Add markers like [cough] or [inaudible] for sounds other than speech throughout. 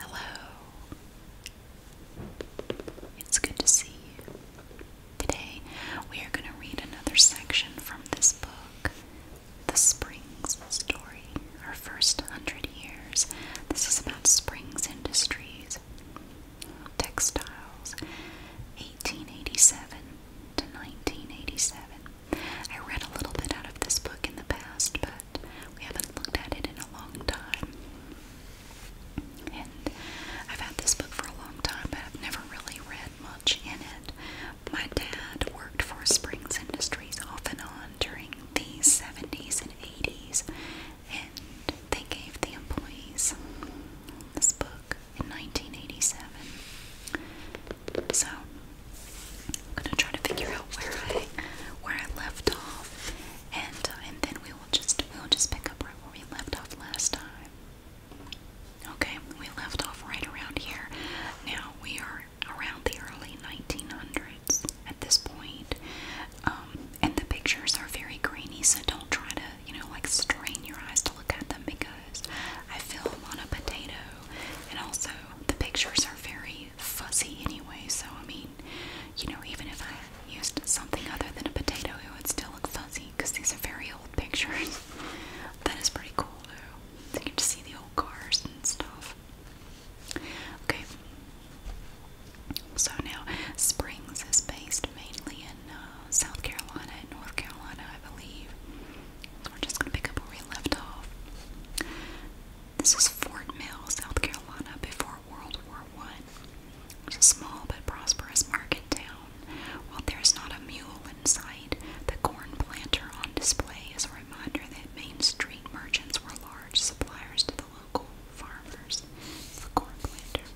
Hello. It's good to see you. Today we are going to read another section from this book, The Springs Story, Our First Hundred Years. This is about Springs Industries, Textiles, 1887 to 1987. I read a little bit out of this book in the past, but we haven't looked at it in a long time. And I've had this book for a long time, but I've never really read much in it. My dad worked for Springs Industries off and on during the 70s and 80s, and they gave the employees this book in 1987. So I'm gonna try to figure out where I where I left off, and uh, and then we will just we will just pick up where we left off last time. Okay, we left off right around here. Now we are around the early 1900s at this um, and the pictures are very grainy, so don't try to you know like strain your eyes to look at them because eyes. I film on a potato, and also the pictures are very fuzzy anyway, so I mean, you know, even if I used something other than a potato, it would still look fuzzy because these are very old pictures. [laughs] that is pretty cool though. You get to see the old cars and stuff. Okay. So now, Springs is based mainly in uh, South Carolina and North Carolina, I believe we're just gonna pick up where we left off. This is Fort Mill, South Carolina, before World War One. a small but prosperous market town. While there's not a mule in sight, the corn planter on display is a reminder that Main Street merchants were large suppliers to the local farmers. the corn planter.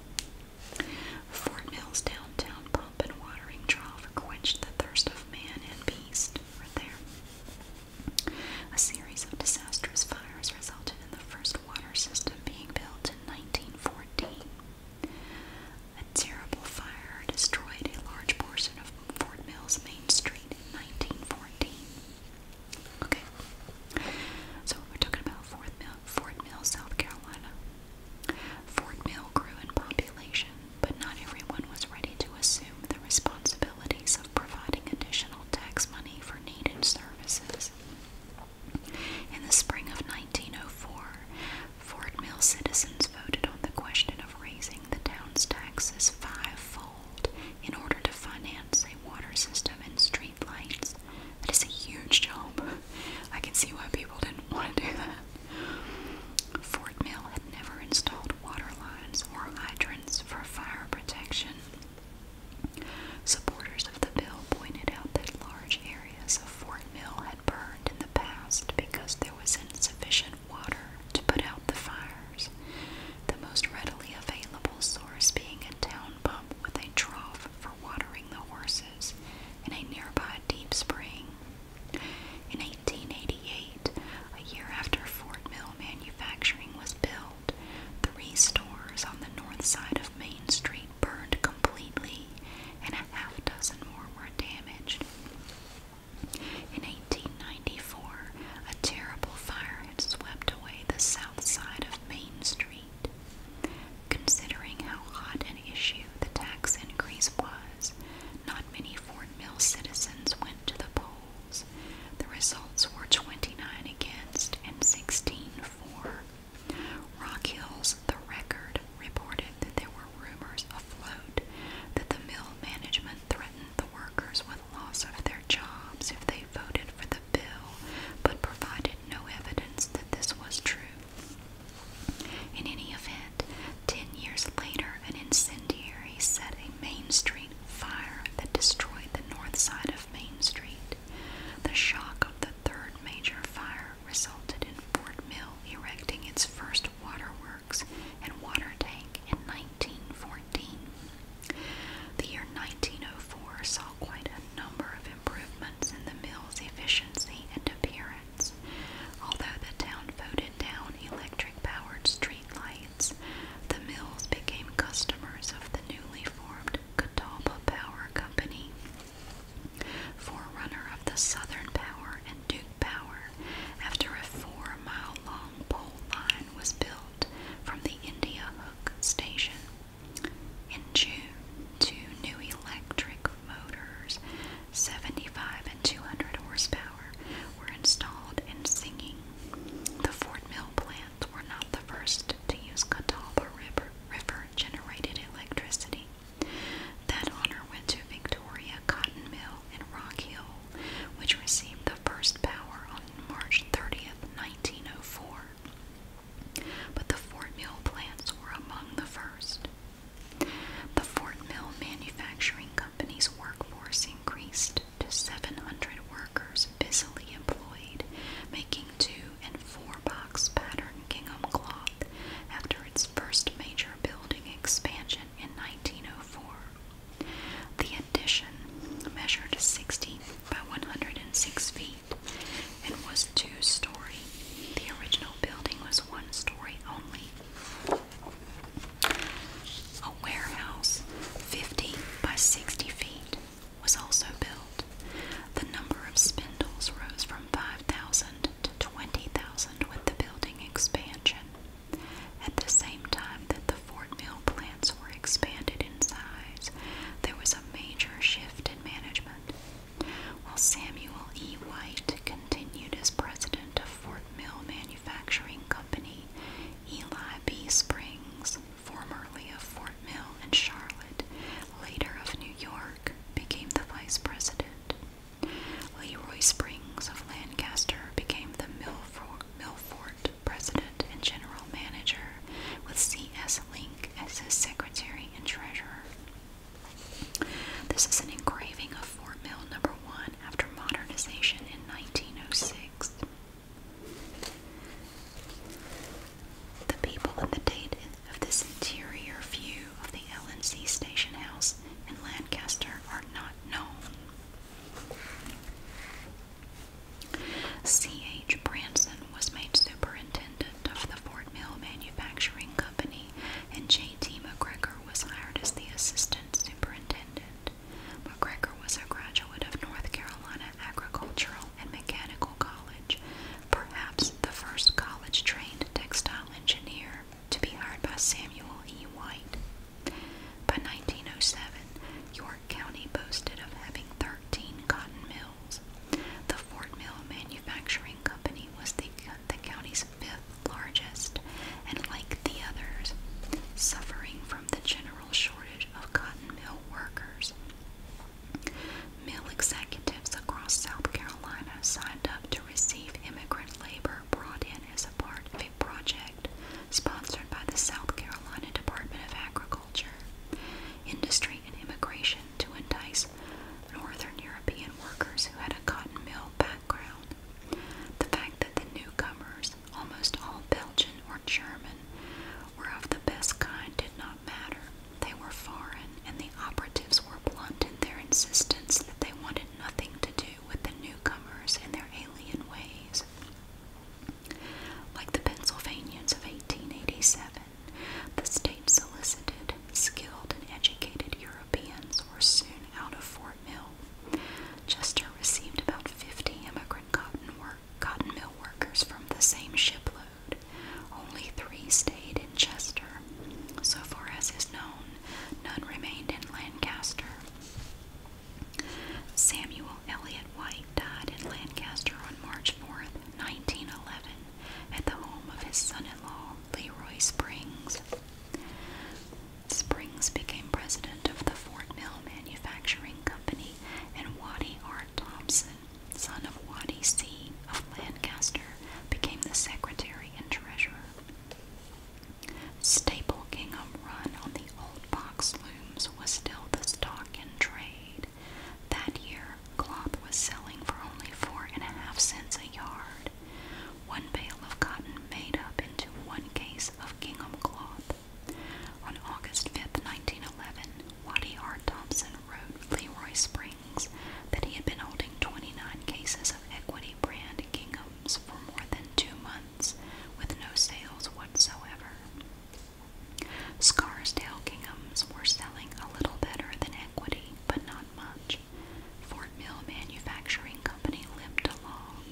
Fort Mill's downtown and watering trough quenched the thirst of man and beast. Right there. A series of disastrous fires resulted in the first water system being built in 1914. A terrible fire destroyed a large portion of Fort Mills Main Street in 1914. Okay, so we're talking about Fort Mill, South Carolina. Fort Mill grew in population but not everyone was ready to assume the responsibilities of providing additional tax money for needed services. In the spring of 1904, Fort Mill citizens voted on the question of raising the town's taxes fivefold in order to finance a water system and streetlights. That is a huge job. [laughs] I can see why people didn't want to do that. Fort Mill had never installed water lines or hydrants for fire protection. Supporters of the bill pointed out that large areas of Fort Mill had burned in the past because there was insufficient water to put out the fires, the most readily available source being a town pump with a trough for watering the horses and a nearby deep spring. In 1888, a year after Fort Mill manufacturing was built, three stores on the north side of Main Street burned completely, and a half dozen more were damaged. In 1894, a terrible fire had swept away the south side of Main Street. Considering how hot an issue the tax increase was, not many Auburn Mills citizens went to the polls. The results were 29 against and 16 for. Rock Hills, the record, reported that there were rumors afloat that the mill management threatened the workers with loss of their jobs if they voted for the bill, but provided no evidence that this was true. In any event, Ten years later, an incendiary set a Main Street fire that destroyed the north side of Main Street. The shock of the third major fire resulted in Fort Mill erecting its first waterworks and water tank in 1914. The year 1904 saw quite a number of improvements in the mill's efficiency and appearance. Although the town voted down electric powered streetlights, the mills became customers of the newly formed Catawba Power Company. Forerunner of the Southern Power and Duke Power, after a four mile long pole line was built from the India Hook station. In June, two new electric motors 75 and 200 horsepower, were installed in singing. The Fort Mill plants were not the first to use Catawba River, generated electricity. That honor went to Victoria Cotton Mill in Rock Hill, which received the first power on March 30, 1904. But the Fort Mill plants were among the first. The Fort Mill Manufacturing Company's workforce increased to 700 workers busily employed making two and four box pattern gingham cloth after its first major building expansion in 1904. The addition measured 60 by 106 feet and was two story. The original building was one story only. A warehouse 50 by 60 feet was also built. The number of spindles rose from 5,000 to 20,000 with the building expansion. At the same time that the Fort Mill plants were expanded in size, there was a major shift in management. While Samuel E. White continued as president of Fort Mill Manufacturing Company, Eli B. Springs, formerly of Fort Mill and Charlotte, later of New York, became the vice president. Leroy Springs of Lancaster became the Milford, Milford president and general manager, with C.S. Link as his secretary and treasurer. This is an engraving of for mill number one after modernization in 1906. The people of the date of this interior view of the LNC station house in Lancaster are not known. C.H. Branson was made superintendent of the Fort Mill Manufacturing Company, and J.T. McGregor was hired as the assistant superintendent. McGregor was a graduate of North Carolina Agricultural and Mechanical College, perhaps the first college trained textile engineer to be hired by Samuel E. White. By 1907, York County boasted of having 13 cotton mills. The Fort Mill Manufacturing Company was the, the county's fifth largest, and like the others, suffering from the general shortage of cotton mill workers. Mill executives across South Carolina signed up to receive immigrant labor brought in as a part of a project sponsored by the South Carolina Department of Agriculture, Industry, and Immigration to entice Northern European workers who had a cotton mill background the fact that the newcomers, almost all Belgian or German, were of the best kind did not matter. They were foreign, and the operatives were blunt in their insistence that they wanted nothing to do with the newcomers and their alien ways. Like the Pennsylvanians of 1887, the state solicited, skilled, and educated Europeans were soon out of force. Chester received about 50 immigrant cotton, mill workers from the same shipload. Only three stayed in Chester. So far as is known, none remained in Lancaster. Samuel Elliot White died in Lancaster on March 4, 1911, at the home of his son in law, Leroy Springs. Springs became president of the Fort Mill Manufacturing Company, and Waddy R. Thompson, son of Waddy C. of Lancaster, became the secretary and treasurer. Staple gingham run on the old box looms was still the stock in trade. That year, cloth was selling for only four and a half cents a yard. One bale of cotton made up into one case of gingham cloth. On August 5, 1911, Waddy R. Thompson wrote Leroy Springs that he had been holding 29 cases of Equity brand ginghams for more than two months with no sales whatsoever. Scarsdale ginghams were selling a little better than Equity, but not much. Fort Mill Manufacturing Company limped along,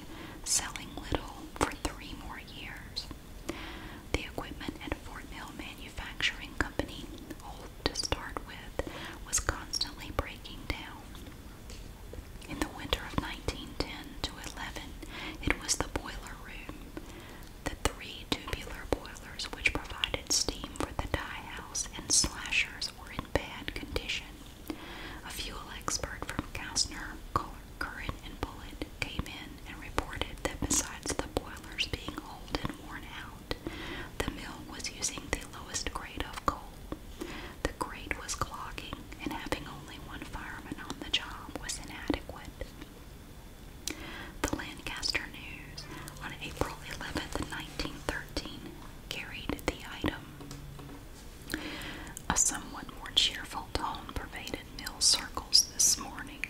selling little for three more years. The equipment at Fort Mill Manufacturing Company, old to start with, was constantly breaking down. In the winter of 1910 to 11, it was the boiler room, the three tubular boilers which provided steam for the dye house and slashers were in bad condition. A fuel expert from Gassner, Curran, and Bullitt came in and reported that besides the boilers being old and worn out, the mill was using the lowest grade of coal. The grate was clogging, and having only one fireman on the job was inadequate. The Lancaster News on April 11, 1913, carried the item. A somewhat more cheerful tone pervaded mill circles this morning.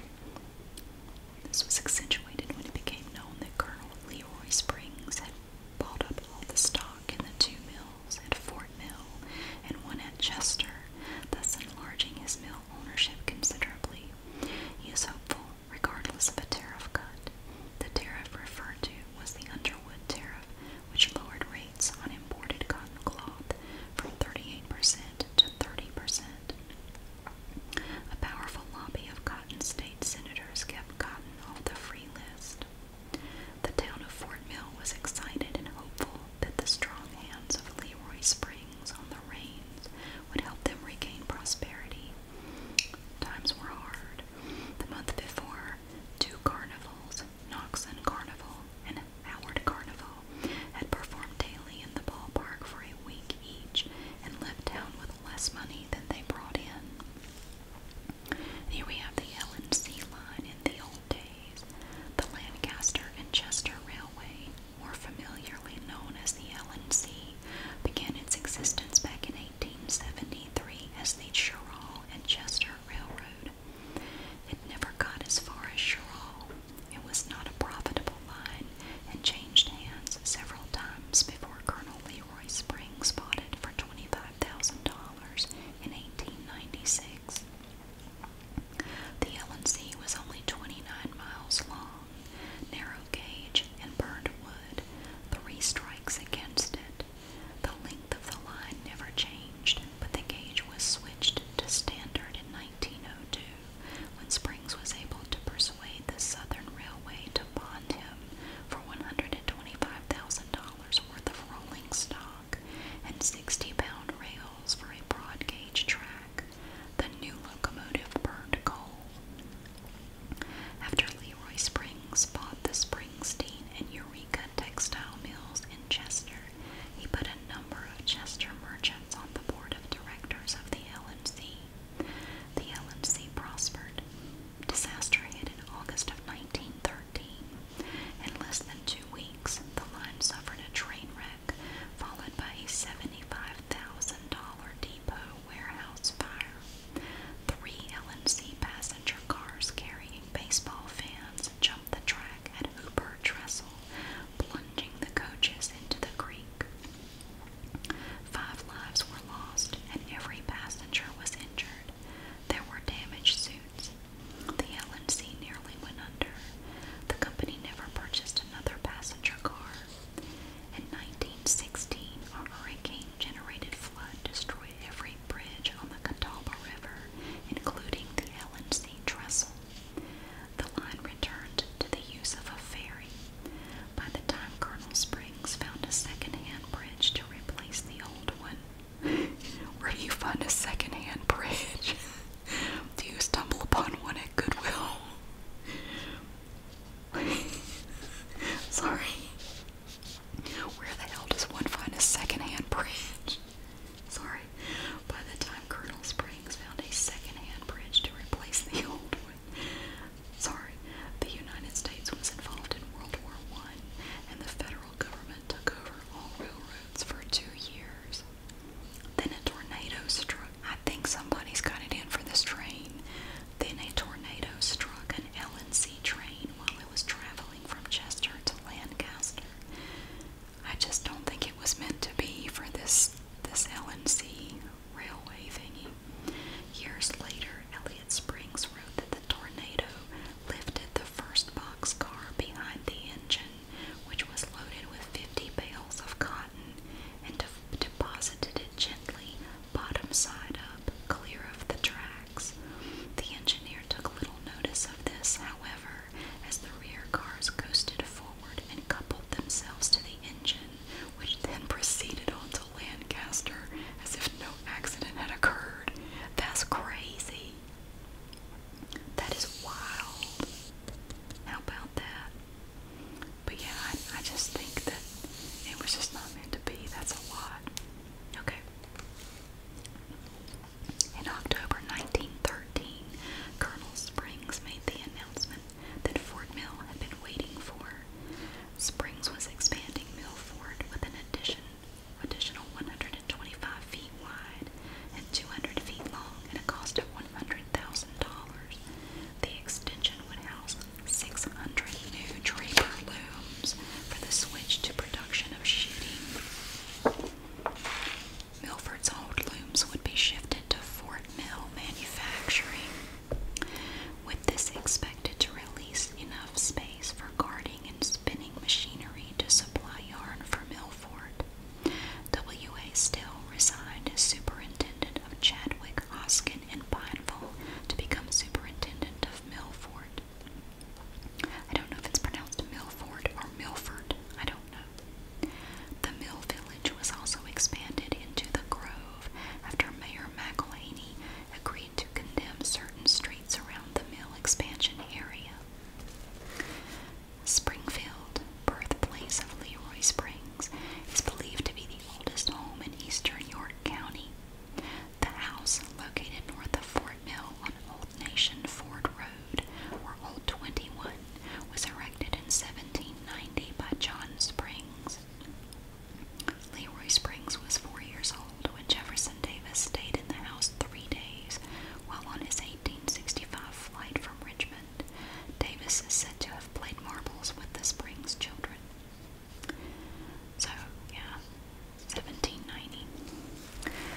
This was accentuated when it became known that Colonel Leroy Springs had bought up all the stock in the two mills at Fort Mill and one at Chester, thus enlarging his mill ownership considerably. He is hopeful, regardless of a tariff cut. The tariff referred to was the Underwood tariff, which lowered rates on imported cotton cloth from 38% to 30%. A powerful lobby of cotton state senators kept cotton off the free list. The town of Fort Mill was excited and hopeful that the strong hands of Leroy Springs on the reins would help them regain prosperity. Times were hard. The month before, two carnivals, Knoxon Carnival, and Howard Carnival had performed daily in the ballpark for a week each and left town with less money than they brought in. Here we have the L&C line in the old days. The Lancaster and Chester Railway, more familiarly known as the L&C, began its existence back in 1873 as the Sherrall and Chester Railroad. It never got as far as Sherall. It was not a profitable line and changed hands several times before Colonel Leroy Springs bought it for $25,000 in 1896. The LNC was only 29 miles long, narrow gauge, and burned wood, three strikes against it. The length of the line never changed, but the gauge was switched to standard in 1902 when Springs was able to persuade the Southern Railway to bond him for $125,000 worth of rolling stock and 60-pound rails for a broad gauge track. The new locomotive burned coal. After Leroy Springs bought the Springs Springsteen and Eureka and textile mills in Chester, he put a number of Chester merchants on the board of directors of the LNC. The LNC prospered. Disaster hit in August of 1913. In less than two weeks, the line suffered a train wreck, followed by a $75,000 depot warehouse fire. Three LNC passenger cars carrying baseball fans jumped the track at Hooper Trestle, plunging the coaches into the creek. Five lives were lost, and every passenger was injured. There were damaged suits. The LNC nearly went under. The company never purchased another passenger car. In 1916, a hurricane generated flood destroyed every bridge on the Catawba River, including the LNC Trestle. The line returned to the use of a ferry. By the time Colonel Springs found a 2nd bridge to replace the old one, [laughs] where do you find a 2nd bridge? [laughs] do you stumble upon one at Goodwill? [laughs] Sorry. Where the hell does one find a second-hand bridge? Sorry. By the time Colonel Springs found a second-hand bridge to replace the [laughs] old one, sorry, the United States was involved in World War One, and the federal government took over all railroads for two years. Then a tornado struck. I think somebody's got it in for this train. Then a tornado struck an LNC train while it was traveling from Chester to Lancaster. I just don't think it was meant to be for this this LNC railway thingy. Years later, Elliot Springs wrote that the tornado lifted the first boxcar behind the engine, which was loaded with 50 bales of cotton, and deposited it gently, bottom side up, clear of the tracks. The engineer took little notice of this, however, as the rear cars coasted forward and coupled themselves to the engine, which then proceeded on to Lancaster as if no accident had occurred. That's crazy. That is wild. How about that? But yeah, I, just think that it was just not meant to be. That's a lot. Okay. In October 1913, Colonel Springs made the announcement that Fort Mill had been waiting for. Springs was expanding Mill Ford with an addition, additional 125 feet wide and 200 feet long at a cost of $100,000. The extension would house 600 new draper looms for the switch to production of sheeting. Milford's old looms would be shifted to Fort Mill manufacturing, with this expected to release enough space for guarding and spinning machinery to supply yarn for Milford. W.A. Still resigned as superintendent of Chadwick, Oskin, and Pineville to become superintendent of Milford. I don't know if it's pronounced Milford or Milford. I don't know. The mill village was also expanded into the grove after Mayor McElhaney agreed to condemn certain streets around the mill expansion area. Springfield, birthplace of Leroy Springs, is believed to be the oldest home in eastern York County. The house, located north of Fort Mill on Nation Ford Road, or Old 21, was erected in 1790 by John Springs. Leroy Springs was four years old when Jefferson Davis stayed in the house three days while on his 1865 flight from Richmond. Davis is said to have played marbles with the Springs children. So, yeah, 1790.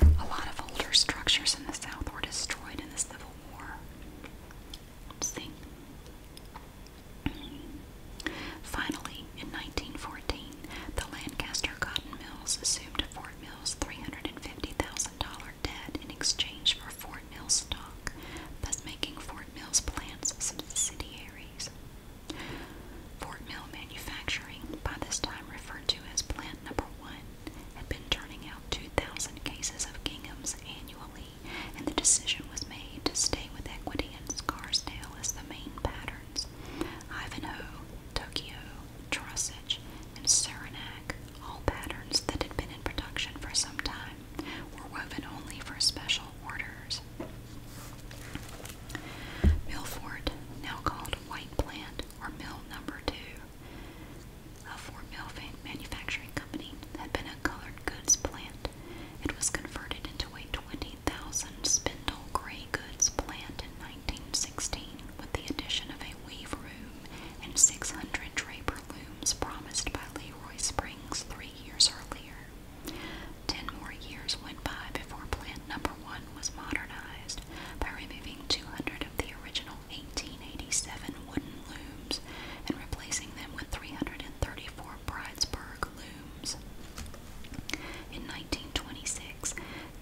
A lot of older structures in the South were destroyed in the Civil War. see. Finally, in 1914, the Lancaster Cotton Mills assumed Fort Mills $350,000 debt in exchange for Fort Mills stock, thus making Fort Mills plants subsidiaries. Fort Mill Manufacturing, by this time referred to as Plant Number One, had been turning out 2,000 cases of ginghams annually, and the decision was made to stay with Equity and Scarsdale as the main patterns. Ivanhoe, Tokyo, Trossage, and Saranac, all patterns that had been in production for some time, were woven only for special orders. Milford, now called White Plant or Mill Number Two, a 4 Mill manufacturing company, had been a colored goods plant. It was converted into a 20,000 spindle gray goods plant in 1916 with the addition of a weave room and 600 draper looms promised by Leroy Springs three years earlier. Ten more years went by before plant number one was modernized by removing 200 of the original 1887 wooden looms and replacing them with 334 Bridesburg looms. In 1926,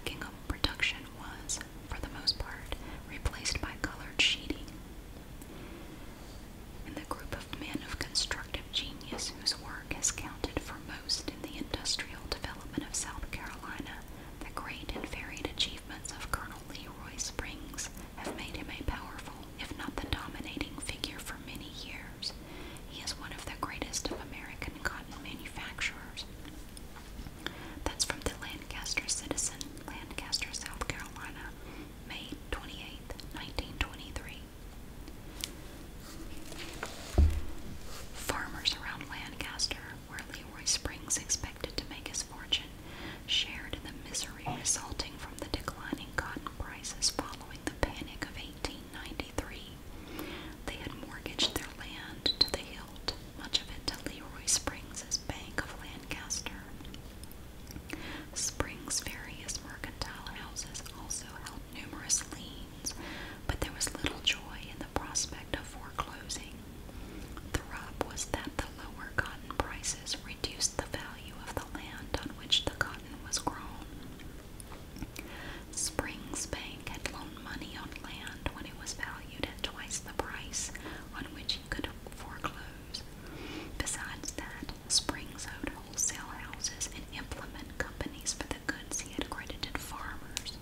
gingham production was, for the most part, replaced by colored sheeting. In the group of men of constructive genius whose work has counted for most in the industrial development of South Carolina, the great and varied achievements achievements of Colonel Leroy Springs have made him a powerful, if not the dominating, figure for many years. He is one of the greatest of American cotton manufacturers. That's from the Lancaster Citizen, Lancaster, South Carolina, May 28, 1923. Farmers around Lancaster where Leroy Springs expected to make his fortune, shared in the misery resulting from the declining cotton prices following the panic of 1893. They had mortgaged their land to the hilt, much of it to Leroy Springs' Bank of Lancaster. Springs' various mercantile houses also held numerous liens, but there was little joy in the prospect of foreclosing the rub was that the lower cotton prices reduced the value of the land on which the cotton was grown. Springs Bank had loaned money on land when it was valued at twice the price on which he could foreclose. Besides that, Springs owed wholesale houses and implement companies for the goods he had credited farmers.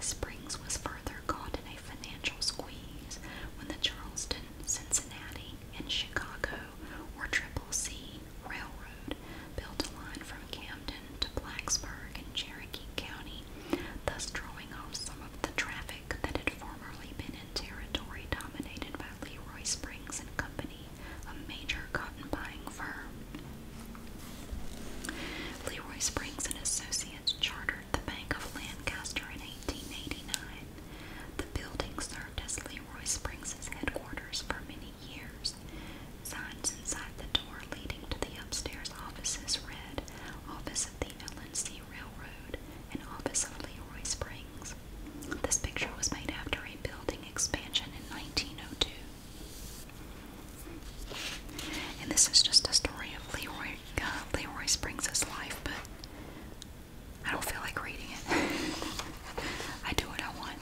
Springs was further caught in a financial squeeze when the Charleston, Cincinnati, and Chicago, or Triple C, Railroad built a line from Camden to Blacksburg in Cherokee County, thus drawing off some of the traffic that had formerly been in territory dominated by Leroy Springs and Company, a major cotton buying firm. Leroy Springs and Associates chartered the Bank of Lancaster in 1889. The building served as Leroy Springs' headquarters for many years. Signs inside the door leading to the upstairs offices read Office of the LNC Railroad and Office of Leroy Springs. This picture was made after a building expansion in 1902. And this is just a story of Leroy uh, Leroy Springs is life, but I don't feel like reading it. [laughs] I do what I want.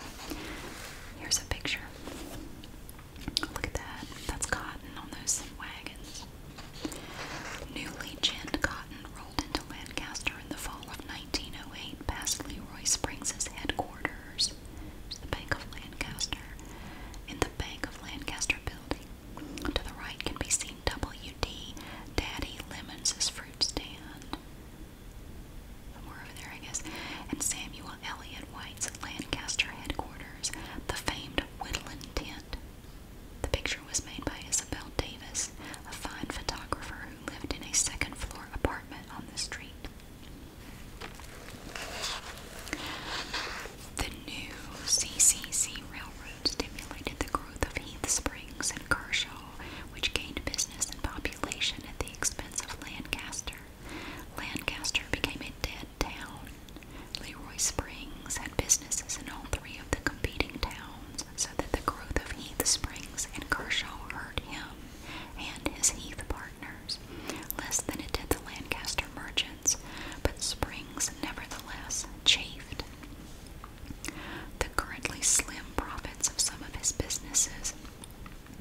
Here's a picture. Look at that. That's cotton on those wagons. Newly ginned cotton rolled into Lancaster in the fall of 1908 past Leroy Springs' headquarters, the Bank of Lancaster, in the Bank of Lancaster building. To the right can be seen WD Daddy Lemons' fruit stand. over there, I guess. And Samuel Elliot White's Lancaster headquarters, the famed Woodland Tent. The picture was made by Isabel Davis, a fine photographer who lived in a second floor apartment on the street. The new CCC Railroad stimulated the growth of Heath Springs and Kershaw, which gained business and population at the expense of Lancaster. Lancaster became a dead town. Leroy Springs had businesses in all three of the competing towns, so that the growth of Heath Springs and Kershaw hurt him and his Heath partners less than it did the Lancaster merchant oceans, but springs nevertheless chafed. The currently slim profits of some of his businesses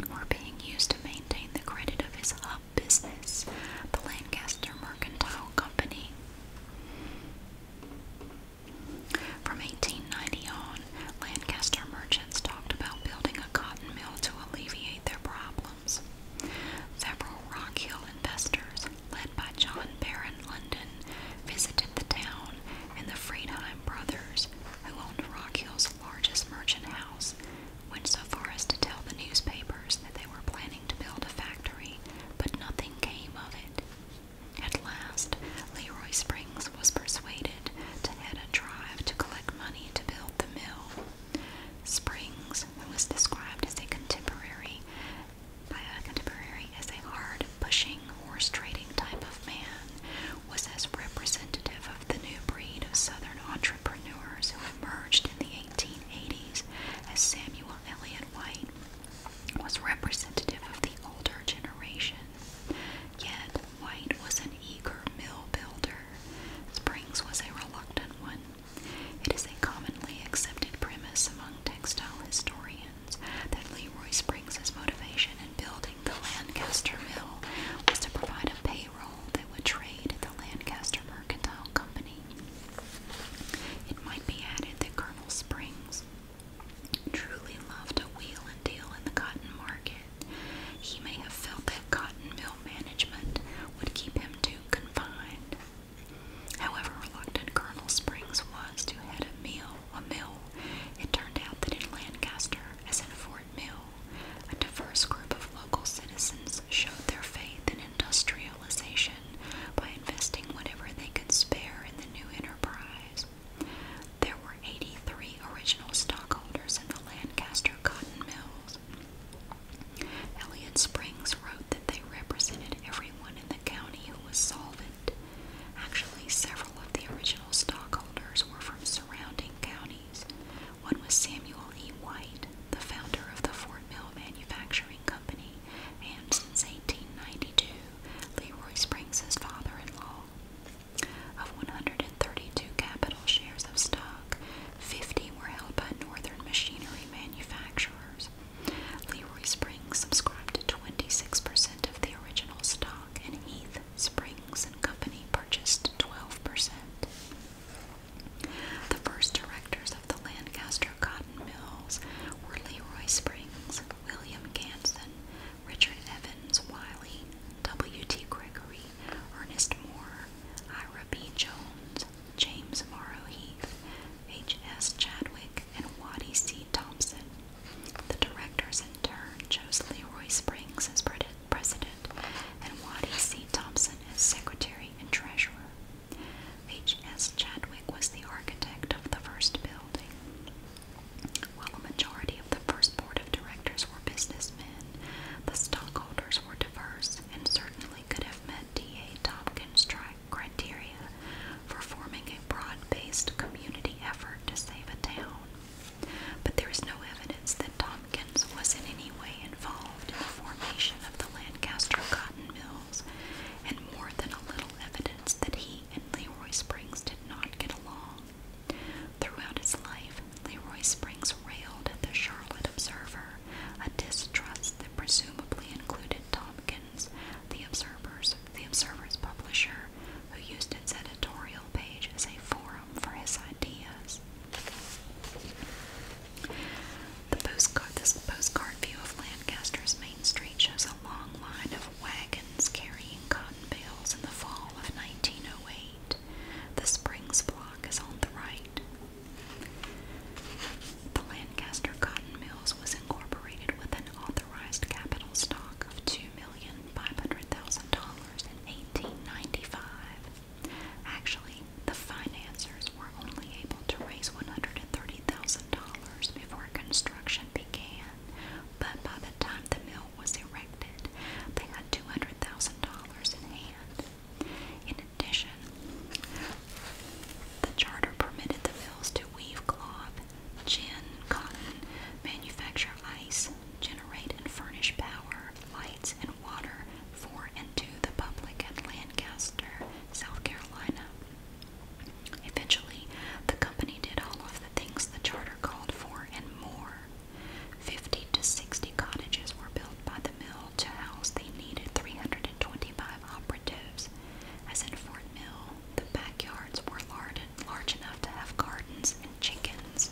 were being used to maintain the credit of his hub business, the Lancaster Mercantile Company. From 1890 on, Lancaster merchants talked about building a cotton mill to alleviate their problem. Several Rock Hill investors, led by John Barron London, visited the town, and the Friedheim brothers, who owned Rock Hill's largest merchant house, went so far as to tell the newspapers that they were planning to build a factory, but nothing came of it. At last, Leroy Springs was persuaded to head a drive to collect money to build the mill. Springs, who was described as a contemporary Pius Contemporary as a hard, pushing, horse trading type of man, was as representative of the new breed of Southern entrepreneurs who emerged in the 1880s as Samuel Eliot White was representative of the older generation. Yet, White was an eager mill builder. Springs was a reluctant one. It is a commonly accepted premise among textile historians that Leroy Springs' motivation in building the Lancaster Mill was to provide a payroll that would trade the Lancaster Mercantile Company. It might be added that Colonel Springs truly loved a wheel and deal in the cotton market. He may have felt that cotton mill management would keep him too confined, However reluctant Colonel Springs was to head a mill, a mill, it turned out that in Lancaster, as in Fort Mill, a diverse group of local citizens showed their faith in industrialization by investing whatever they could spare in the new enterprise. There were 83 original stockholders in the Lancaster cotton mills. Elliot Springs wrote that they represented everyone in the county who was solvent. Actually, several of the original stockholders were from surrounding counties. One was Samuel E. White, the founder of the Fort Mill Manufacturing Company, and since 1892, Leroy Springs' father-in-law. Of 132 capital shares of stock, 50 were held by northern machinery manufacturers, Leroy Springs subscribed 26% of the original stock, and Heath Springs and Company purchased 12%. The first directors of the Lancaster cotton mills were Leroy Springs, William Ganson, Richard Evans Wiley, W.T. Gregory, Ernest Moore, Ira B. Jones, James Morrow Heath, H.S. Chadwick, and Waddy C. Thompson. The directors in turn chose Leroy Springs as president and Waddy C. Thompson as secretary and treasurer. H.S. Chadwick was the architect of the first building. While a majority of the first board of directors were businessmen, the stockholders were diverse and certainly could have met D.A. Tompkins' tri criteria for forming a broad-based community effort to save a town. But there is no evidence that Tompkins was in any way involved in the formation of the Lancaster cotton mills, and more than a little evidence that he and Leroy Springs did not get along. Throughout his life, Leroy Springs railed at the Charlotte Observer, a distrust that presumably included Tompkins, the Observer's, the Observer's publisher, who used its editorial page as a forum for his ideas. The postcard, this postcard view of Lancaster's Main Street shows a long line of wagons carrying cotton bales in the fall of 1908. The Springs block is on the right. The Lancaster Cotton Mills was incorporated with an authorized capital stock of $2,500,000 in 1895. Actually, the financiers were only able to raise $130,000 before construction began, but by the time the mill was erected, they had $200,000 in hand. In addition, the charter permitted the mills to weave cloth, gin, cotton, manufacture ice, generate and furnish power, lights, and water for and to the public at Lancaster, South Carolina. Eventually, the company did all of the things the charter called for and more. Fifty to sixty cottages were built by the mill to house the needed 325 operatives. As in Fort Mill, the backyards were large, large enough to have gardens and chickens.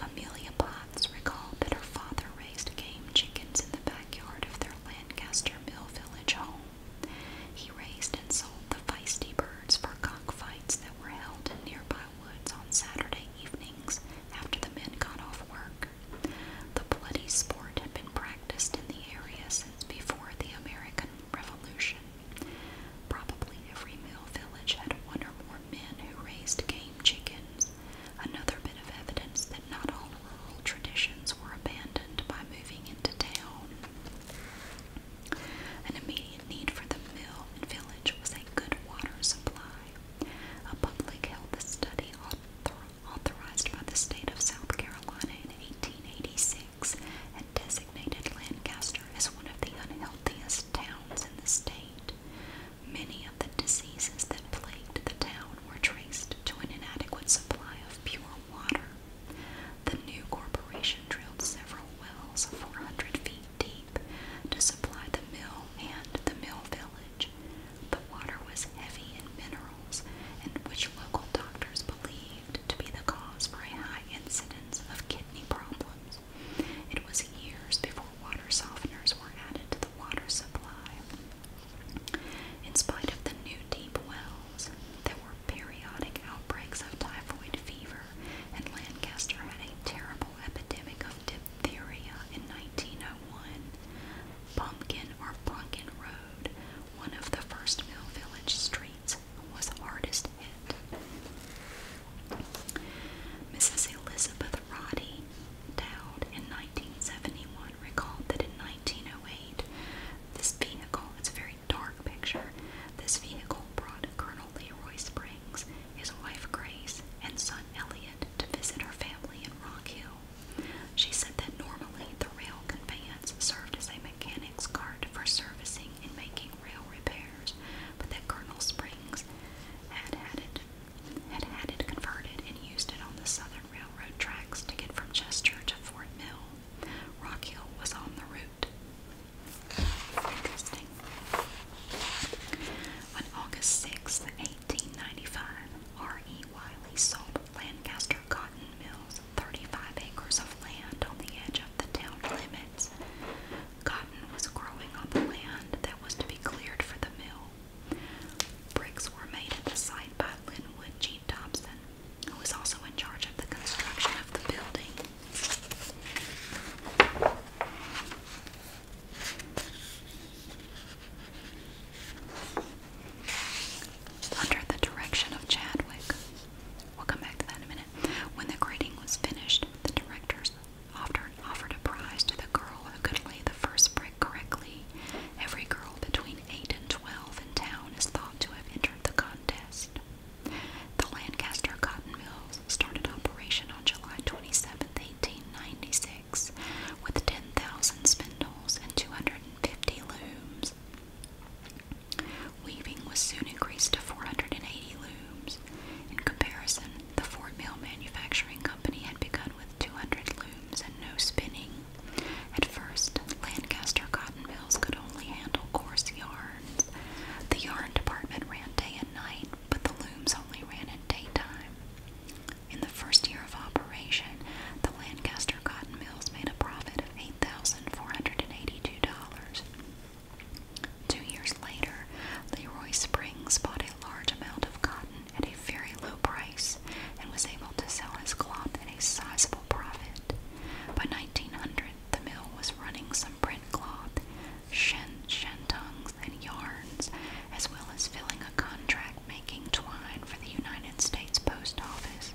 Amelia Potts recalled that her father raised game chickens in the backyard of their Lancaster Mill Village home. He raised and sold the feisty birds for cockfights that were held in nearby woods on Saturday evenings after the men got off work. The bloody sport had been practiced in the area before the American Revolution. Probably every mill village had one or more men who raised game chickens, another bit of evidence that not all rural traditions were abandoned by moving into town. An immediate need for the mill and village was a good water supply. A public health study authored authorized by the state of South Carolina in 1886, had designated Lancaster as one of the unhealthiest towns in the state. Many of the diseases that plagued the town were traced to an inadequate supply of pure water. The new corporation drilled several wells 400 feet deep to supply the mill and the mill village. The water was heavy in mineral referrals and which local doctors believed to be the cause for a high incidence of kidney problems. It was years before water softeners were added to the water supply. In spite of the new deep wells, there were periodic outbreaks of typhoid fever, and Lancaster had a terrible epidemic of diphtheria in 1901. Pumpkin or Plunkin Road one of the first mill village streets was hardest hit. Mrs. Elizabeth Roddy, Dowd in 1971, recalled that in 1908, this vehicle, it's a very dark picture, this vehicle brought Colonel Leroy Springs, his wife Grace, and son Elliot to visit her family in Rock Hill. She said that normally the rail conveyance served as a mechanic's cart for servicing and making rail repairs, but that Colonel Springs had had it had had it converted and used it on the Southern Railroad tracks to get from Chester to Fort Mill. Rock Hill was on the route. Interesting. On August 6, 1895, R. E. Wiley sold Lancaster Cotton Mills 35 acres of land on the edge of the town limits. Cotton was growing on the land that was to be cleared for the mill. Bricks were made at the site by Linwood G. Thompson, who was also in charge of the construction of the building under the direction of Chadwick. We'll come back to that in a minute. When the grading was finished, the directors offered, offered a prize to the girl who could lay the first brick correctly. Every girl between 8 and 12 in town is thought to have entered the contest. The Lancaster Cotton Mills started operation on July 27, 1896, with 10,000 spindles and 250 looms. Weaving was soon increased to 480 looms. In comparison, the Fort Mill Manufacturing Company had begun with 200 looms and no spinning. At first, Lancaster cotton mills could only handle coarse yarns. The yarn department ran day and night, but the looms only ran in daytime. In the first year of operation, the Lancaster cotton mills made a profit $8,482. Two years later, Leroy Springs bought a large amount of cotton at a very low price and was able to sell his cloth at a sizable profit. By 1900, the mill was running some print cloth, shan shantungs, and yarns, as well as filling a contract making twine for the United States Post Office.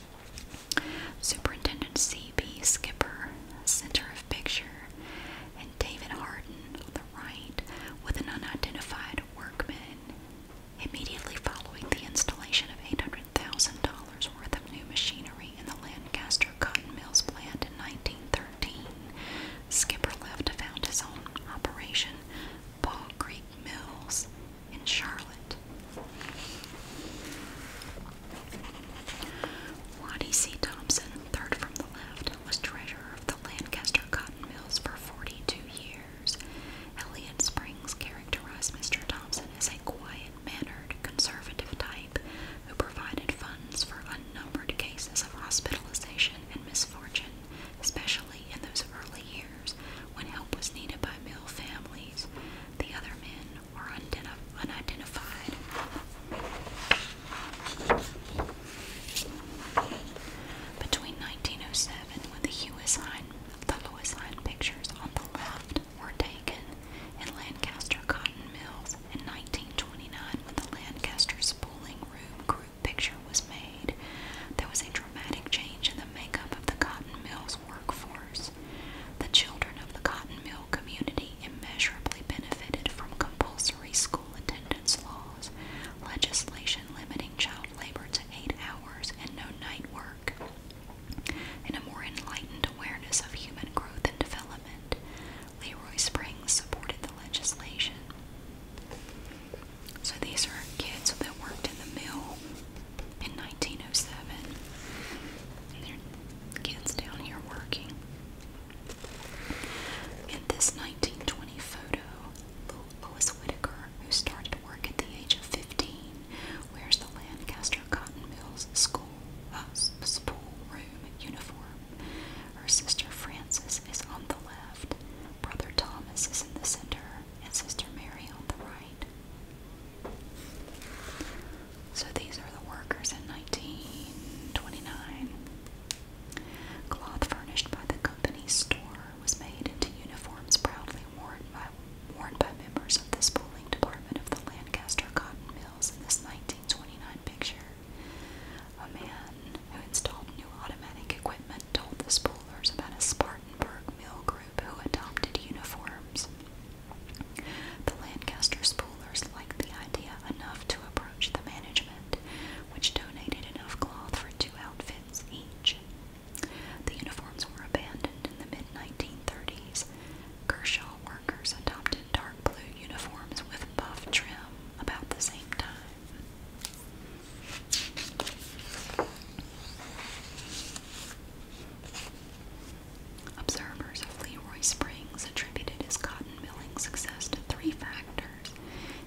Superintendent C.B. Skipper, center of picture, and David Harden the right with an unidentified workman. Immediately following the installation of $800,000 worth of new machinery in the Lancaster Cotton Mills plant in 1913, Skipper left to found his own operation, Ball Creek Mills in Charlotte. Wattie C. Thompson, third from the left, was treasurer of the Lancaster Cotton Mills for 42 years. Elliot Springs characterized Mr. Thompson as a quiet mannered, conservative type who provided funds for unnumbered cases of hospitalization and misfortune, especially in those early when help was needed by mill families. The other men were unidentified. Between 1907, when the Lewis Line, the Lewis Line pictures on the left were taken, and Lancaster Cotton Mills, in 1929, when the Lancaster Spooling Room group picture was made, there was a dramatic change in the makeup of the cotton mills. Seattle's workforce. The children of the cotton mill community immeasurably benefited from compulsory school attendance laws, legislation limiting child labor to eight hours and no night work, and a more enlightened awareness of human growth and development. Leroy Springs supported the legislation. So these are kids that worked in the mill in 1907. And kids down here working. In this 1920 photo, Lois Whittaker, who started work at the age of 15, wears the Lancaster Cotton Mills school uh, school room uniform. Her sister Frances is on the left. Brother Thomas is in the center, and Sister Mary on the right. So these are the workers in 1929. Cloth furnished by the company's store was made into uniforms proudly worn by, worn by members of the spooling department of the Lancaster Cotton Mills in this 1929 picture. A man who installed new automatic equipment told the spoolers about a Spartanburg mill who adopted uniforms. The Lancaster Spoolers liked the idea enough to approach the management, which donated enough cloth for two outfits each. The uniforms were abandoned in the mid 1930s. Kershaw workers adopted dark blue uniforms with buff trim about the same time. Observers of Leroy Springs attributed his cotton milling success to three factors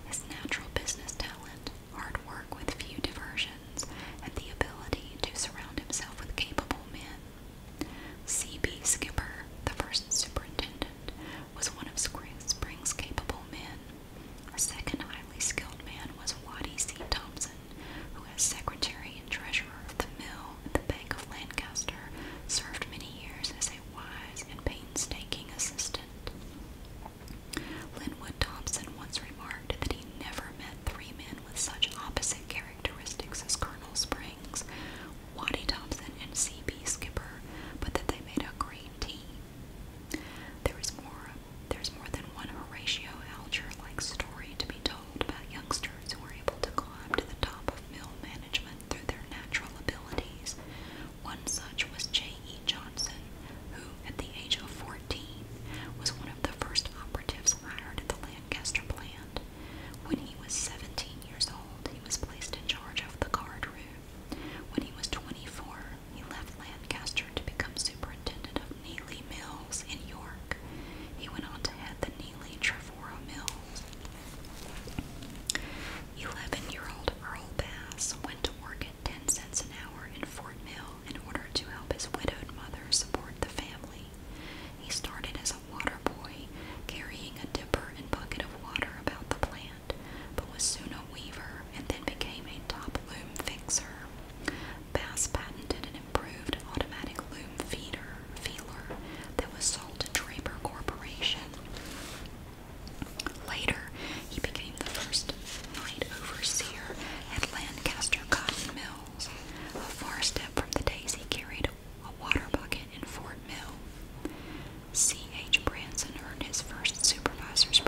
his natural business talent, hard work with few diversions, and the ability to surround himself with capable men. C.B. Skipper, the first superintendent, was one of Springs' capable men. A second highly skilled man was Waddy C. Thompson, who as secretary and treasurer of the mill at the Bank of Lancaster served many years as a wise and painstaking assistant. Linwood Thompson once remarked that he never met three men with such opposite characteristics as Colonel Springs, Waddy Thompson, and C.B. Skipper, but that they made a great team. There is more there's more than one Horatio Alger-like story to be told about youngsters who were able to climb to the top of mill management through their natural abilities. One such was J.E. Johnson, who, at the age of 14, was one of the first operatives hired at the Lancaster plant. When he was 17 years old, he was placed in charge of the guard room. When he was 24, he left Lancaster to become superintendent of Neely Neely Mills in York. He went on to head the Neely Trevora Mills. Eleven-year-old Earl Bass went to work at ten cents an hour in Fort Mill in order to help his widowed mother support the family. He started as a water boy, carrying a dipper and bucket of water about the plant, but was soon a weaver and then became a top loom fixer. Bass patented an improved automatic loom feeder feeler that was sold to Draper Corporation. Later, he became the first night overseer at Lancaster Cotton Mills, a far step from the days he carried a water bucket in Fort Mill. C. H. Branson earned his first supervisor's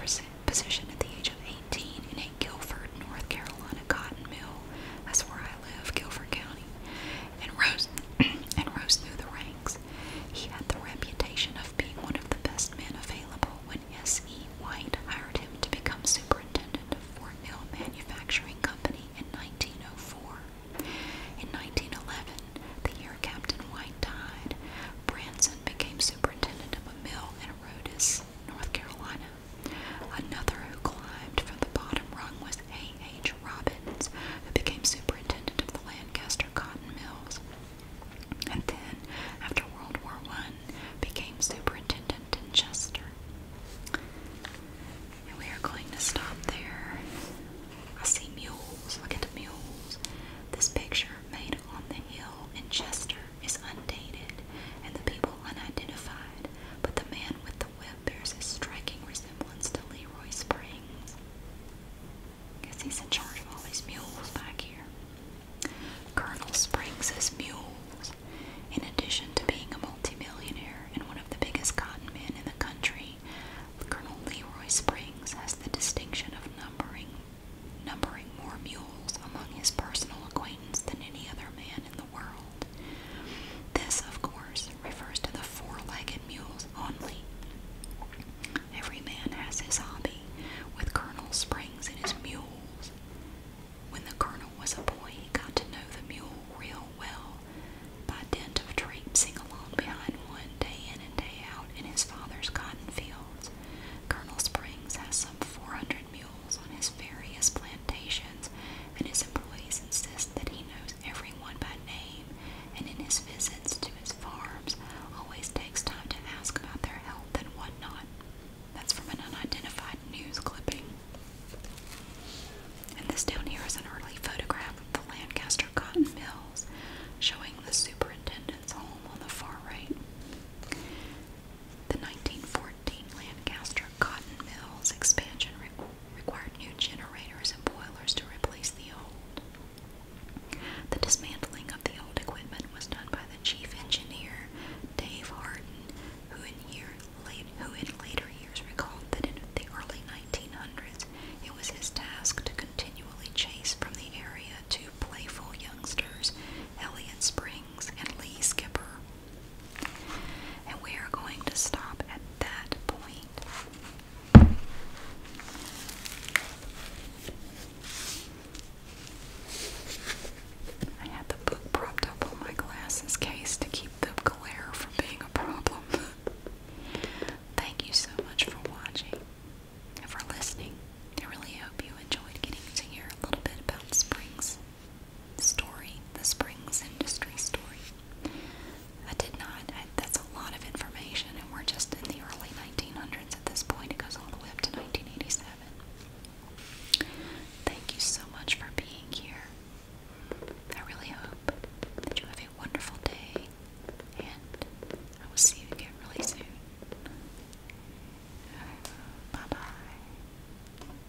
position at the age of 18 in a Guilford, North Carolina cotton mill. That's where I live, Guilford County, and rose [clears throat] and rose through the ranks. He had the reputation of being one of the best men available when S. E. White hired him to become superintendent of Fort Mill Manufacturing Company in 1904. In 1911, the year Captain White died, Branson became superintendent of a mill in Rhodes, North Carolina. Another who climbed from the bottom rung was A. H. Robbins, who became superintendent of the Lancaster cotton mills, and then, after World War I, became superintendent in Chester. we are going to stop there. I see mules. Look at the mules. This picture made on the hill in Chester is undated and the people unidentified, but the man with the whip bears a striking resemblance to Leroy Springs. Guess he's in charge of all these mules back here. Colonel Springs' mules, in addition to being a multimillionaire and one of the biggest cotton men in the country, Colonel Leroy Springs has the distinction of numbering numbering more mules among his personal acquaintance than any other man in the the world. This, of course, refers to the four legged mules only. Every man has his hobby, with Colonel Springs and his mules. When the colonel was a boy, he got to know the mule real well by dint of traipsing along behind one day in and day out in his father's cotton fields. Colonel Springs has some 400 hundred mules on his various plantations, and his employees insist that he knows everyone by name, and in his visits to his farms always takes time to ask about their health and whatnot. That's from an unidentified news clipping. And this down here is an early photograph of the Lancaster cotton mills showing the superintendent's home on the far right. The 1914 Lancaster Cotton Mills expansion required new generators and boilers to replace the old. The dismantling of the old equipment was done by the chief engineer, Dave Harden, who in later years recalled that in the early 1900s it was his task to continually chase from the area two playful youngsters, Elliot Springs and Lee Skipper, and we are going to stop at that point. I had the book propped up on my glasses case to keep the glare from being a problem. [laughs] Thank you so much for watching and for listening. I really hope you enjoyed getting to hear a little bit about Springs story, the Springs industry story. I did not. that's a lot of information, and we're just in the early 1900s at this point. It goes all the way up to 1987. Thank you so much for being here. I really hope that you have a wonderful day, and I will see you again really soon. Bye bye.